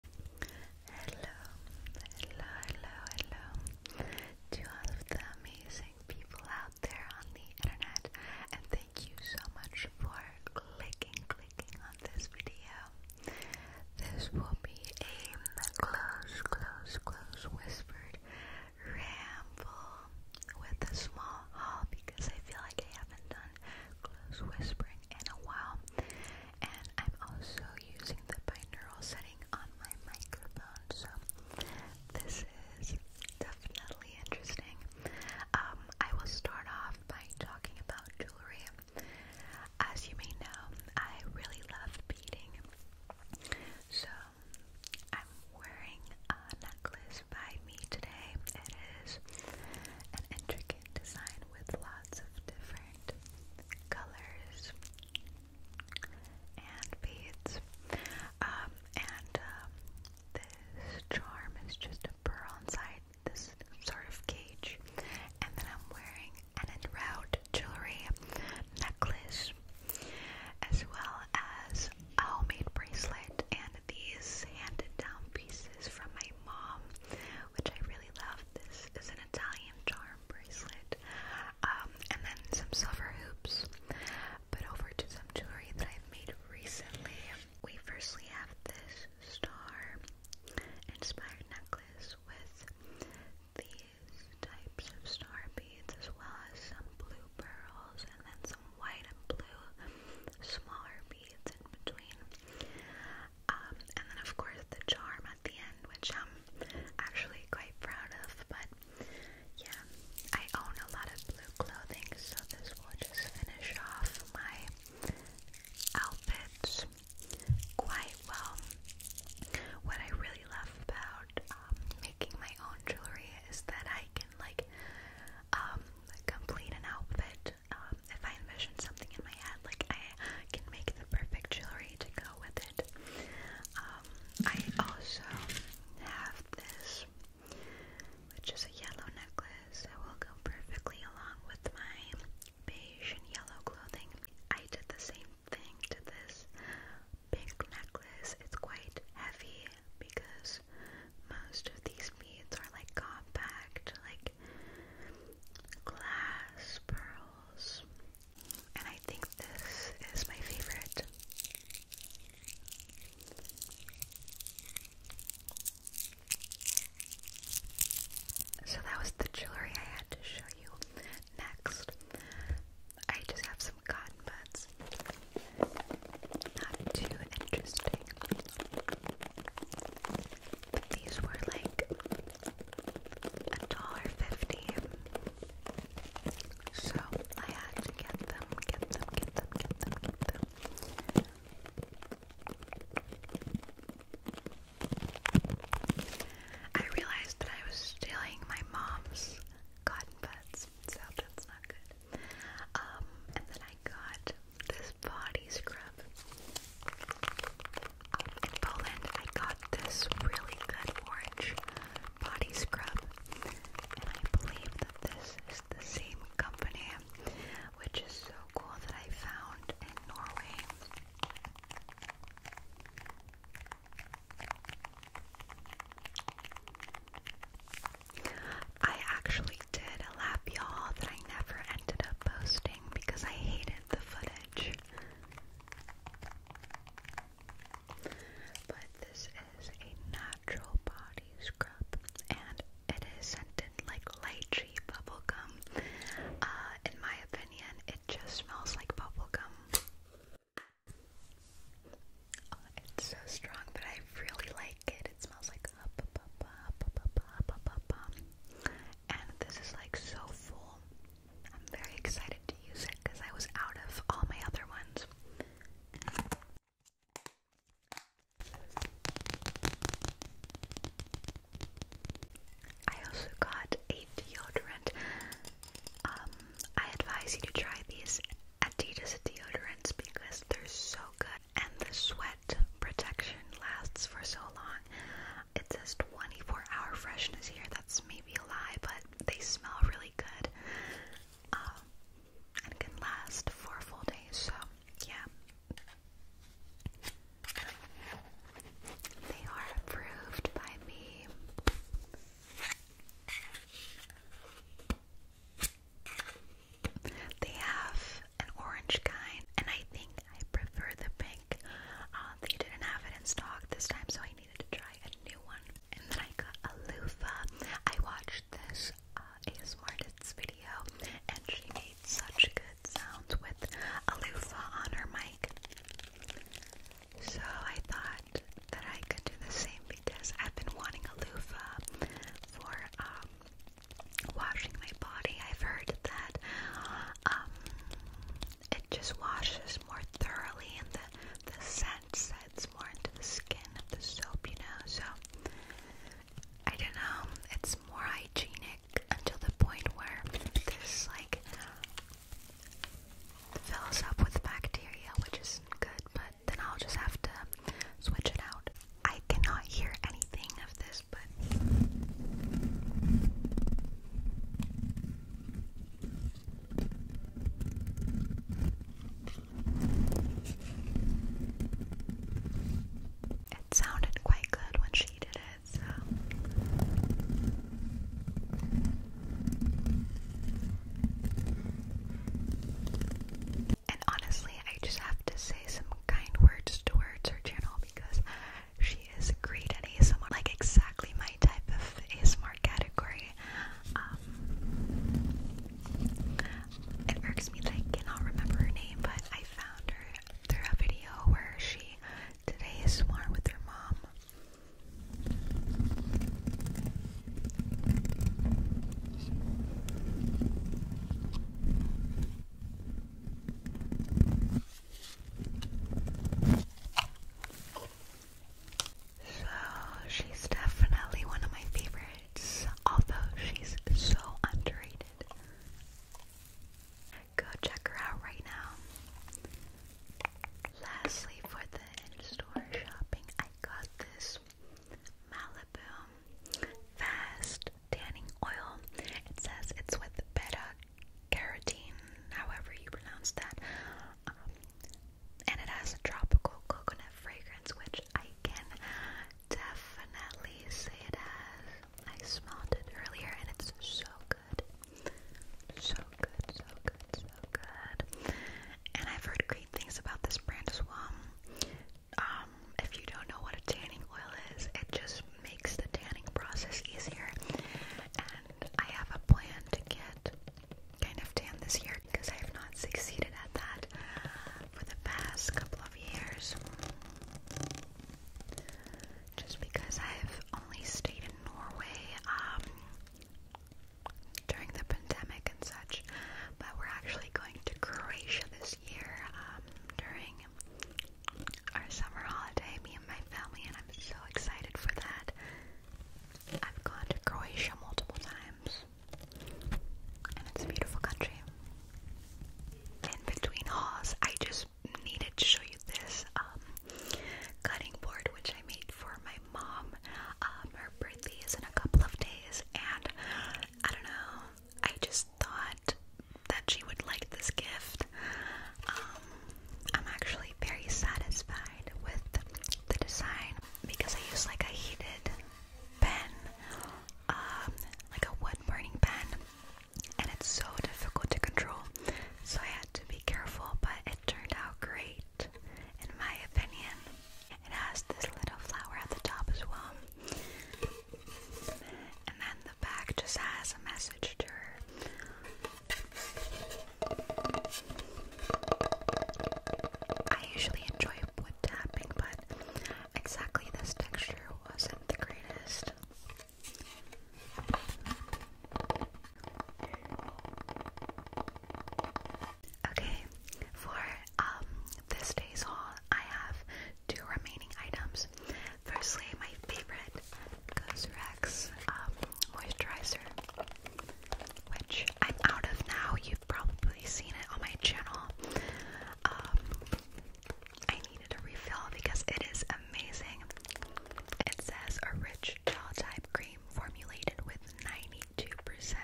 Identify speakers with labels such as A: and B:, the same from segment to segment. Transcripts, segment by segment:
A: Hello, hello, hello, hello to all the amazing people out there on the internet, and thank you so much for clicking, clicking on this video. This will be a close, close, close whispered ramble with a small haul because I feel like I haven't done close whispering in a while and I'm also using the binaural setting on my microphone, so this is definitely interesting. Um, I will start off by talking about jewelry. As you may know, I really love beading, so I'm wearing a necklace by me today. It is an intricate design with lots of different different colors and beads. Um, and um, this charm is just a pearl inside this sort of cage. And then I'm wearing an enroute jewelry necklace as well as a homemade bracelet and these handed down pieces from my mom which I really love. This is an Italian charm bracelet, um, and then some silver hoops. But over to some jewelry that I've made recently. We firstly have this star inspired necklace with these types of star beads, as well as some blue pearls, and then some white and blue smaller beads in between. Um, and then, of course, the charm at the end, which I'm actually quite proud of. But yeah, I own a lot of blue clothing, so this will just finish off my outfits quite well. What I really love about um, making my own jewelry is that I can, like, um, complete an outfit um, if I envision something in my head, like I can make the perfect jewelry to go with it. Um, I also have this, which is a yellow necklace that will go perfectly along with my beige and yellow clothing. I did the same thing to this pink necklace. It's quite heavy because most of these beads are like compact, like glass pearls. And I think this is my favorite. So that was the jewelry I had to show you. Next, I just have some cotton buds. Not too interesting. These were like a dollar fifty. So I had to get them, get them, get them, get them, get them. I realized that I was stealing my mom's cotton buds, so that's not good. Um, and then I got this body scrub. Poland, I got this really good orange body scrub, and I believe that this is the same company, which is so cool that I found in Norway. I actually did a lap y'all that I never ended up posting because I hated the footage. But this is a natural body scrub and it is scented like lychee bubblegum. Uh, in my opinion, it just smells like bubblegum. Oh, it's so strong, but I really like it. It smells like and this is like so full. I'm very excited to use it because I was out of all my other ones. I also got a deodorant. Um, I advise you to try these Adidas deodorants because they're so good and the sweat protection lasts for so long. It says 24 hour freshness here. That's maybe a lie, but they smell really good um, and can last for full day. So, yeah. They are approved by me. They have an orange kind, and I think I prefer the pink. Um, they didn't have it in stock this time, so I needed to try a new one. And then I got a loofah. I watched this uh, video, and she made such good sounds with a loofah on her mic. So I thought that I could do the same because I've been wanting a loofah for um, washing my body. I've heard that um, it just washes more thoroughly and the, the scent sets more into the skin of the soap, you know. So, I don't know, it's more hygienic until the point where there's like fills up with bacteria, which isn't good, but then I'll just have to switch it out. I cannot hear anything of this, but. It sounded quite good when she did it, and honestly, I just have to say some kind words towards her channel because she is great at ASMR, like exactly my type of ASMR category. Um, it irks me that I cannot remember her name, but I found her through a video where she did ASMR with her mom. So she's definitely one of my favorites, although she's so underrated. Go check her out right now. Lastly, for the in-store shopping, I got this Malibu Fast Tanning Oil. It says it's with beta carotene, however you pronounce that. Um, and it has a tropical coconut fragrance, which I can definitely say it has. I smelled it earlier and it's so good. So good, so good, so good. And I've heard great things about this brand as well um, if you don't know what a tanning oil is, it just makes the tanning process easier. And I have a plan to get kind of tan this year because I have not succeeded at that for the past couple of years. Just because I've only stayed in Norway, um, during the pandemic and such, but we're actually going to Croatia this year um, during our summer holiday, me and my family, and I'm so excited for that. I've gone to Croatia multiple times, and it's a beautiful country. In between hauls, I just needed to show you this um, cutting board which I made for my mom. Um, her birthday is in a couple of days, and I don't know. I just thought that she would like this gift. Um, I'm actually very satisfied with the design because I use like a heated pen, um, like a wood burning pen, and it's so difficult to control. So I had to be careful, but it turned out great, in my opinion. It has this little flower at the top as well. And then the back just has a message to her. I usually enjoy wood tapping, but exactly this texture wasn't the greatest. Okay, for um this day's haul, I have two remaining items. Firstly, my favorite Cosrx um, moisturizer, which I'm out of now. You've probably seen it on my channel. Um, I needed a refill because it is amazing. It says a rich gel type cream formulated with 90 92%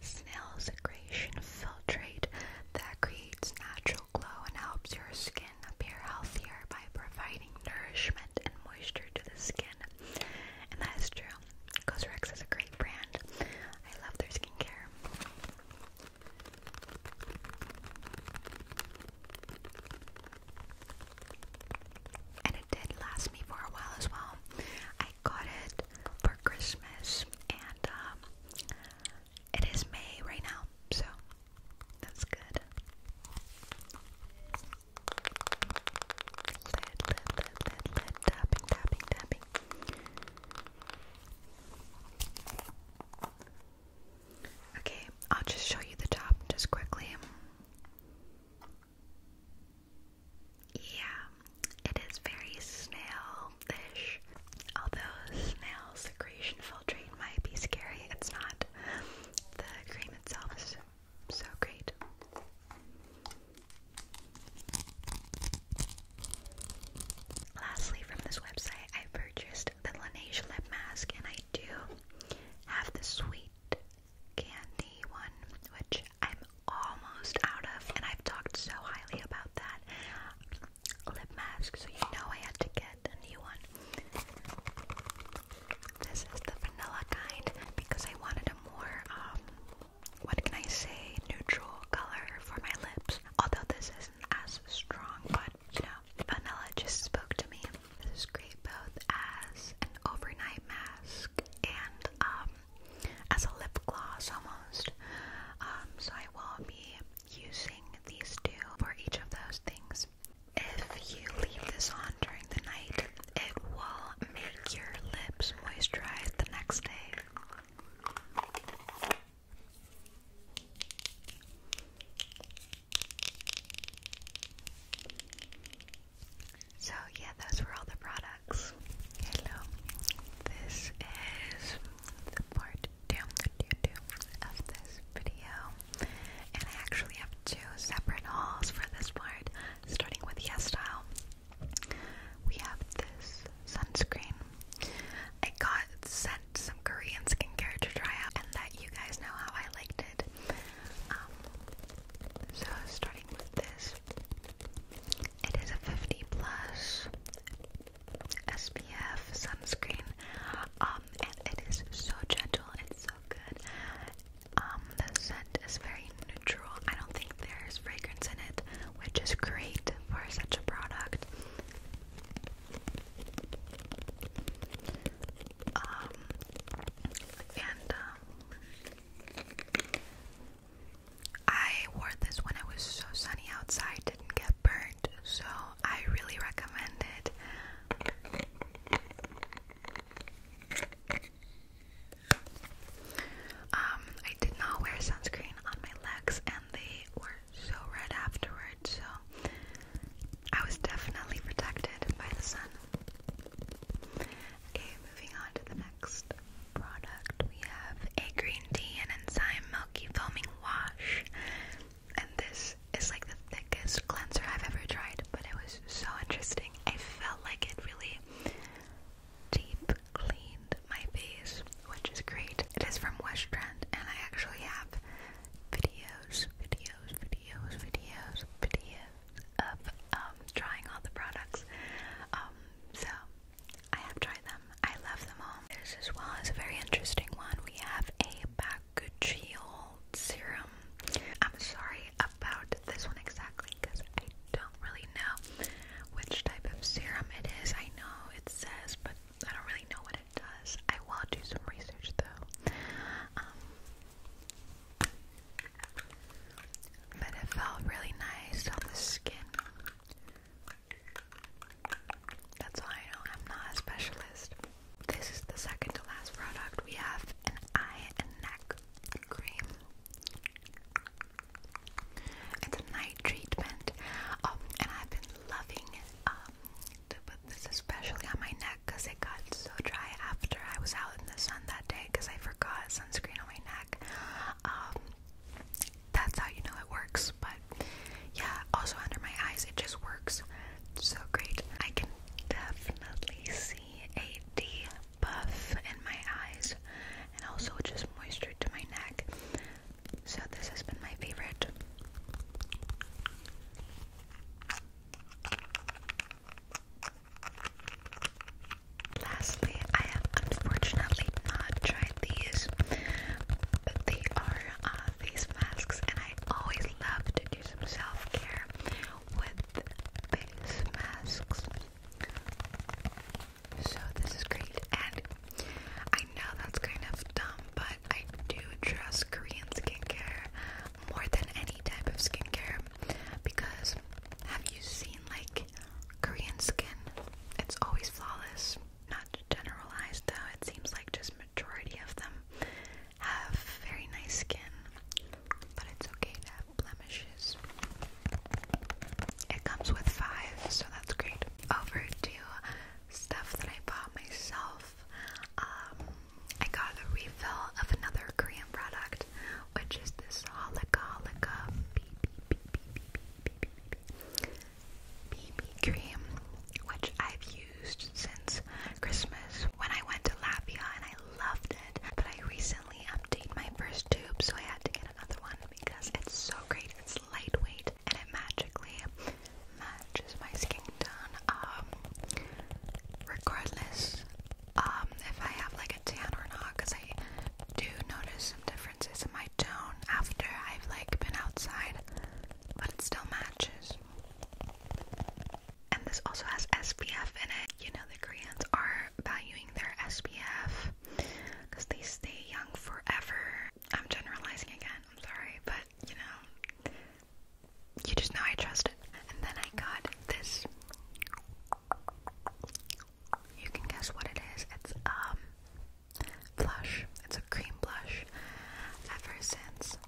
A: snail secretion filtrate that creates natural glow and helps your skin appear healthier by providing nourishment and moisture to the skin. And that is true. Cosrx is a great brand. I love their skincare it did last me for a while as well. I got it for Christmas, and um, it is May right now, so that's good. Okay, I'll just show you the top just quickly. Yeah, it is very snail-ish. Although snail secretion filtering might be scary, it's not. The cream itself is so great. Lastly, from this website, I purchased the Laneige lip mask, and I do have the sweet candy one, which I'm almost out of, and I've talked so highly about that lip mask, so you know I had to get a new one. This is the vanilla kind because I wanted a more, um, what can I say, neutral color for my lips. Although this isn't as strong, but you know, vanilla just spoke to me. This is great both as an overnight mask and um, as a lip gloss almost. Um, so I will be using these two for each of those things. If you leave this on during the night, it will make your lips moisturized the next day. So, yeah, those were all the products. Hello. This is the part two, two, two of this video. And I actually have two separate hauls for this part, starting with Yes Style. We have this sunscreen. I got sent some Korean skincare to try out, and that you guys know how I like um, so starting with this, it is a 50 plus SPF sunscreen. Um, and it is so gentle. It's so good. Um, the scent is very neutral. I don't think there's fragrance in it, which is great for such a product. and I wore this when it was so sunny outside, didn't get burnt, so I really recommend it. Um, I did not wear sunscreen on my legs and they were so red afterwards, so I was definitely protected by the sun. Okay, moving on to the next product. We have a green tea and enzyme milky foaming wash. And this is like the thickest cleanser I've ever tried, but it was so interesting. I felt like it really deep cleaned my face, which is great. It is from West Trend, and I actually have videos, videos, videos, videos, videos of um, trying all the products. Um, so I have tried them. I love them all. This as well as a very interesting one. We have a Bakuchiol serum. I'm sorry about this one exactly because I don't really know which type of serum it is. I know it says, but I don't really know what it does. I will do some research though. Um, but it felt really nice on the skin. That's all I know I'm not a specialist. This is the second to last product. We have an eye and neck cream. It's a night treatment, oh, and I've been loving um, to put this especially on my neck because it got so dry after I was out in the sun that day because I forgot sunscreen on my neck. Um, that's how you know it works, but yeah, also under my eyes, it just works so great. I can definitely see a deep buff in my eyes and also just moisture to my neck. So, this has been my favorite. Lastly, I have unfortunately not tried these, but they are these uh, masks, and I always love to do some self care with face masks. So, this is great, and I know that's kind of dumb, but I do trust Korean skincare more than any type of skincare because have you seen like Korean skin? It's always flawless. Not generalized though, it seems like just majority of them have very nice skin. But it's okay to have blemishes. It comes with five, so that's great. Over to stuff that I bought myself. Um, I got a refill of another Korean product, which is this Holika Holika BB cream, which I've used since Christmas when I went to Latvia and I loved it. But I recently updated my first tube, so I had to get another one because it's so great. It's lightweight and it magically, mag ages my skin done. Um, regardless, um, if I have like a tan or not, because I do notice some differences in my tone after I've like been outside, but it still matches. And this also has SPF in it. You know, the Koreans are valuing their SPF because they stay young forever. I'm generalizing again, I'm sorry, but you know, you just know I trust it. And then I got this. You can guess what it is. It's um blush. It's a cream blush. Ever since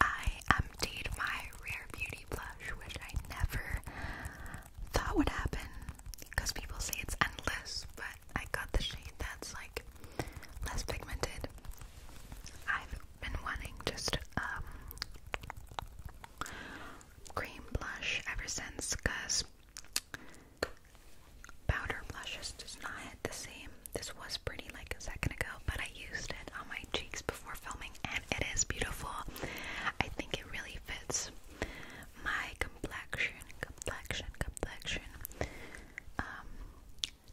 A: I emptied my Rare Beauty blush, which I never thought would happen, because people say it's endless, but I got the shade that's like less pigmented I've been wanting just um, cream blush ever since because powder blushes does not hit the same. This was pretty like a second ago, but I used it on my cheeks before filming and it is beautiful. I think it really fits my complexion, complexion, complexion. Um,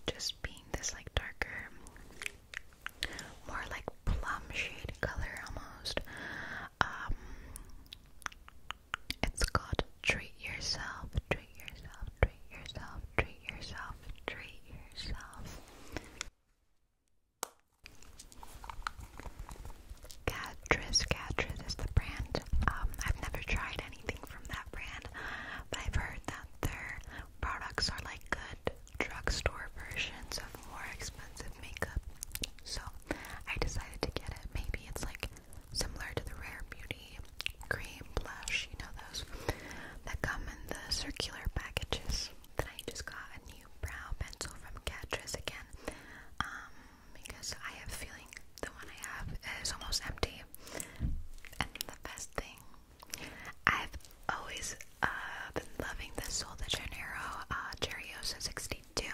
A: just being this like darker, more like plum shade color almost. Um, it's called Treat Yourself, Treat Yourself, Treat Yourself, Treat Yourself, Treat Yourself. Catrice, Catrice is the brand. Um, I've never tried anything from that brand, but I've heard that their Products are like good drugstore versions of more expensive makeup. So I decided to get it. Maybe it's like similar to the Rare Beauty cream blush, you know, those that come in the circular packages. Then I just got a new brow pencil from Catrice again um, because I have a feeling the one I have is almost empty. And the best thing I've always uh, been loving the Sol de Janeiro uh, Cherioso 62,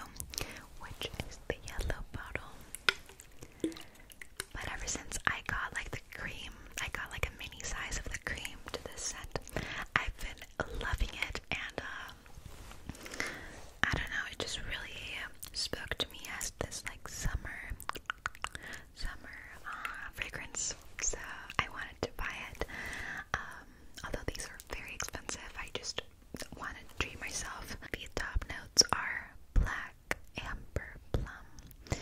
A: which is the yellow bottle. But ever since I got like the cream, I got like a mini size of the cream to this scent. I've been loving it, and um, I don't know, it just really spoke to me as this like summer summer uh, fragrance, so I wanted to buy it. Um, although these are very expensive, I just wanted to treat myself. The top notes are black amber plum.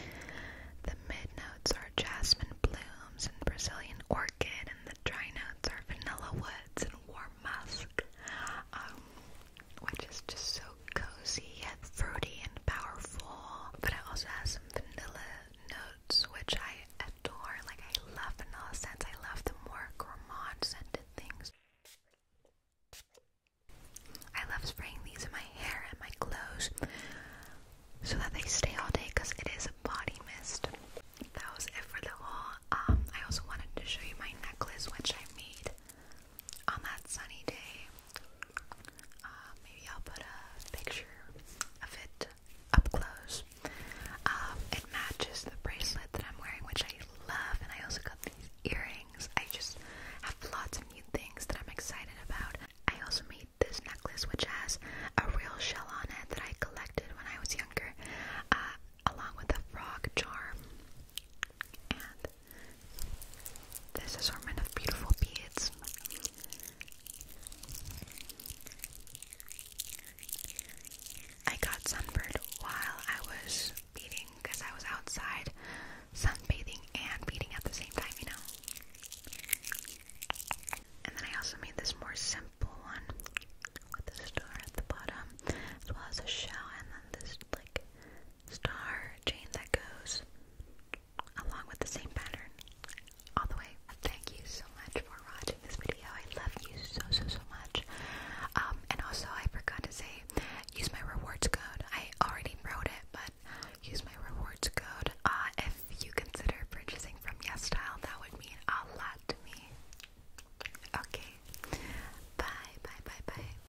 A: The mid notes are jasmine blooms and Brazilian orchid, and the dry notes are vanilla woods and warm musk. Um, which is just so cozy yet fruity and powerful. But it also has some vanilla notes, which I adore. Like, I love vanilla scents, I love the more gourmand scented things. I love spraying these in my hair and my clothes so that they stay all day because it is a body mist. That was it for the haul. Um, I also wanted to show you my necklace, which I made on that sunny day, uh, maybe I'll put a picture of it up close. Um, it matches the bracelet that I'm wearing, which I love, and I also got these earrings. I just have lots of new things that I'm excited about. I also made this necklace, which has a real shell on it that I collected when I was younger, uh, along with a frog charm. And this assortment of beautiful beads. I got sunburned while I was beating, because I was outside sunbathing and beating at the same time, you know. And then I also made this more simple one with a star at the bottom, as well as a shell, and then this like star chain that goes along with the same pattern all the way. Thank you so much for watching this video. I love you so, so, so much. Um, and also, I forgot to say, use my rewards code. I already wrote it, but use my rewards code. Uh, if you consider purchasing from YesStyle, that would mean a lot to me. Okay. Bye, bye, bye, bye.